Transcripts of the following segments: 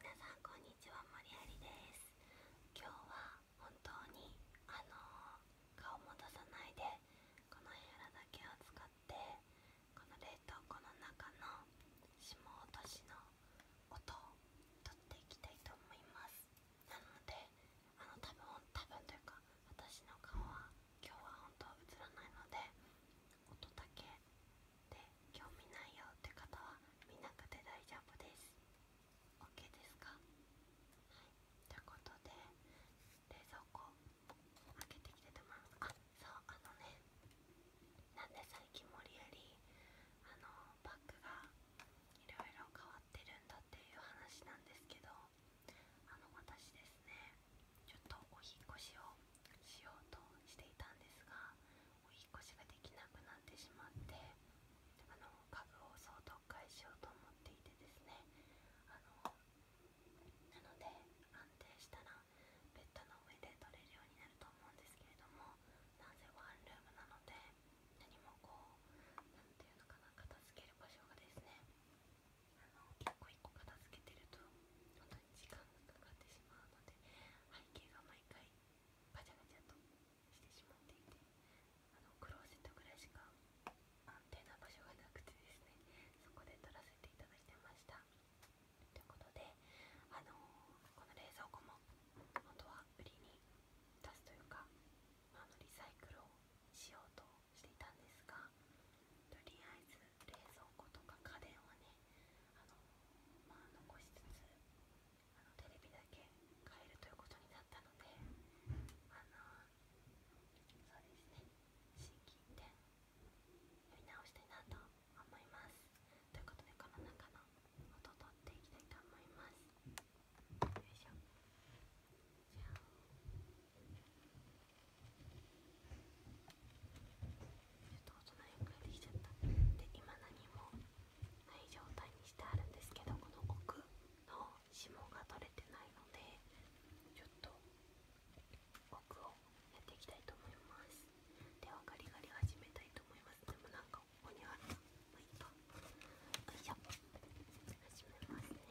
皆さんこんにちは、森有です。今日は本当にあの顔も出さないでこのヘラだけを使ってこの冷凍庫の中の霜落としの音をとっていきたいと思います。なのであの多分多分というか私の顔は今日は本当映らないので音だけで興味ないよって方は見なくて大丈夫です OK ですかということで冷蔵庫開けてきててますあそうあのねなんで最近無理やりあのバッグがいろいろ変わってるんだっていう話なんですけどあの私ですねちょっとお引越しをしようとしていたんですがお引越しができなくなってしまってあの株を相当返しようと思っていてですねあのなので安定したらベッドの上で取れるようになると思うんですけれどもなぜワンルームなので何もこう何ていうのかな片付ける場所がですねあの1個一個片付けてると本当時間がかかってしまうので背景が毎回ガチャガチャとしてしまっていてあのクローゼットぐらいしか安定な場所がなくてですねそこで撮らせていただいてましたということであのこの冷蔵庫も本当は売りに出すというかあのリサイクルをしようとしていたんですがとりあえず冷蔵庫とか家電はねあの、まあ、残しつつあのテレビだけ買えるということになったのであのそうですね心規一点やり直したいなと思いますということでこの中の音を取っていきたいと思いますよいしょちょっと大人にくらいできちゃったで今何もない状態にしてあるんですけどこの奥の指紋が取れてないのでちょっと奥をやっていきたいと思いますではガリガリ始めたいと思いますでもなんかここにあるまあいいかよいしょ始めますね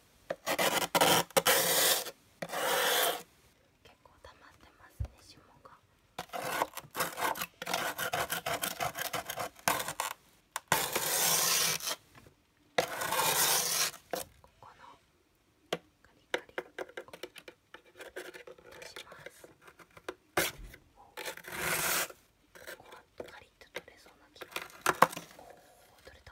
結構溜まってますね霜が。ここのカリカリ出します。ここはカリッと取れそうな気が。おお取れた。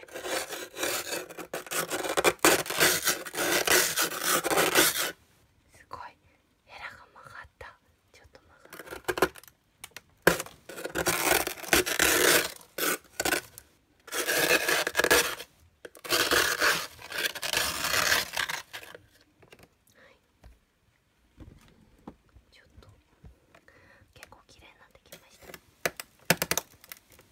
すごいヘラが曲がったちょっと曲がったはいちょっと結構綺麗になってきました。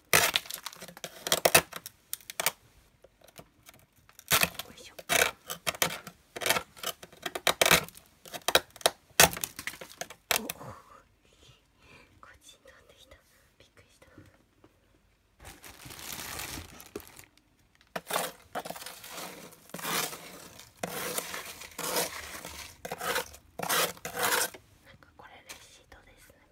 いしょおおこっちに飛んできたびっくりしたなんかこれレシートですね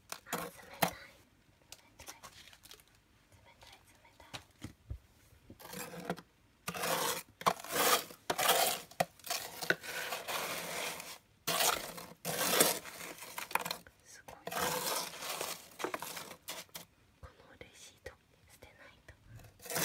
あ冷たい冷たい冷たい冷たいすごいこのレシート捨てないと。こ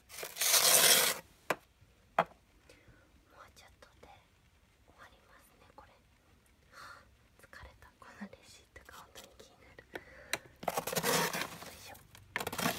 もうちょっとで終わりますねこれ、はあ、疲れたこのレシートが本当に気になるよいしょ上に。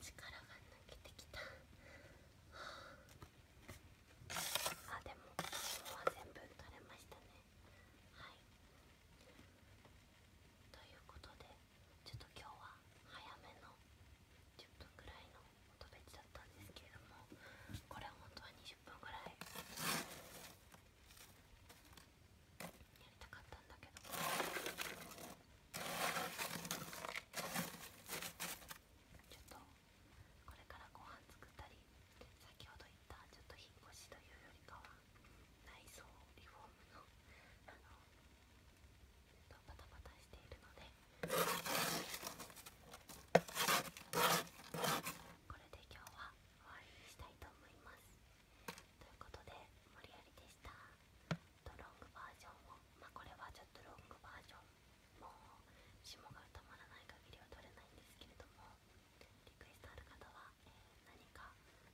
力が抜けてきたあでも今は全部取れましたねはいということでちょっと今日は早めの10分くらいの音ベチだったんですけれどもこれは本当は20分ぐらいやりたかったんだけどちょっとこれからご飯作ったり先ほど言ったちょっと引っ越しというよりかは内装リフォームのあのバタバタしているのでこれで今日は終わりにしたいと思います。ということで無理やりでしたとロングバージョンをまあこれはちょっとロングバージョンも霜がたまらない限りは取れないんですけれどもリクエストある方は、え何か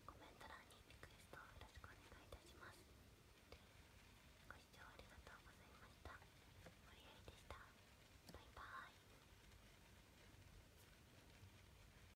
コメント欄にリクエストをよろしくお願いいたしますご視聴ありがとうございました無理やりでしたバイバーイ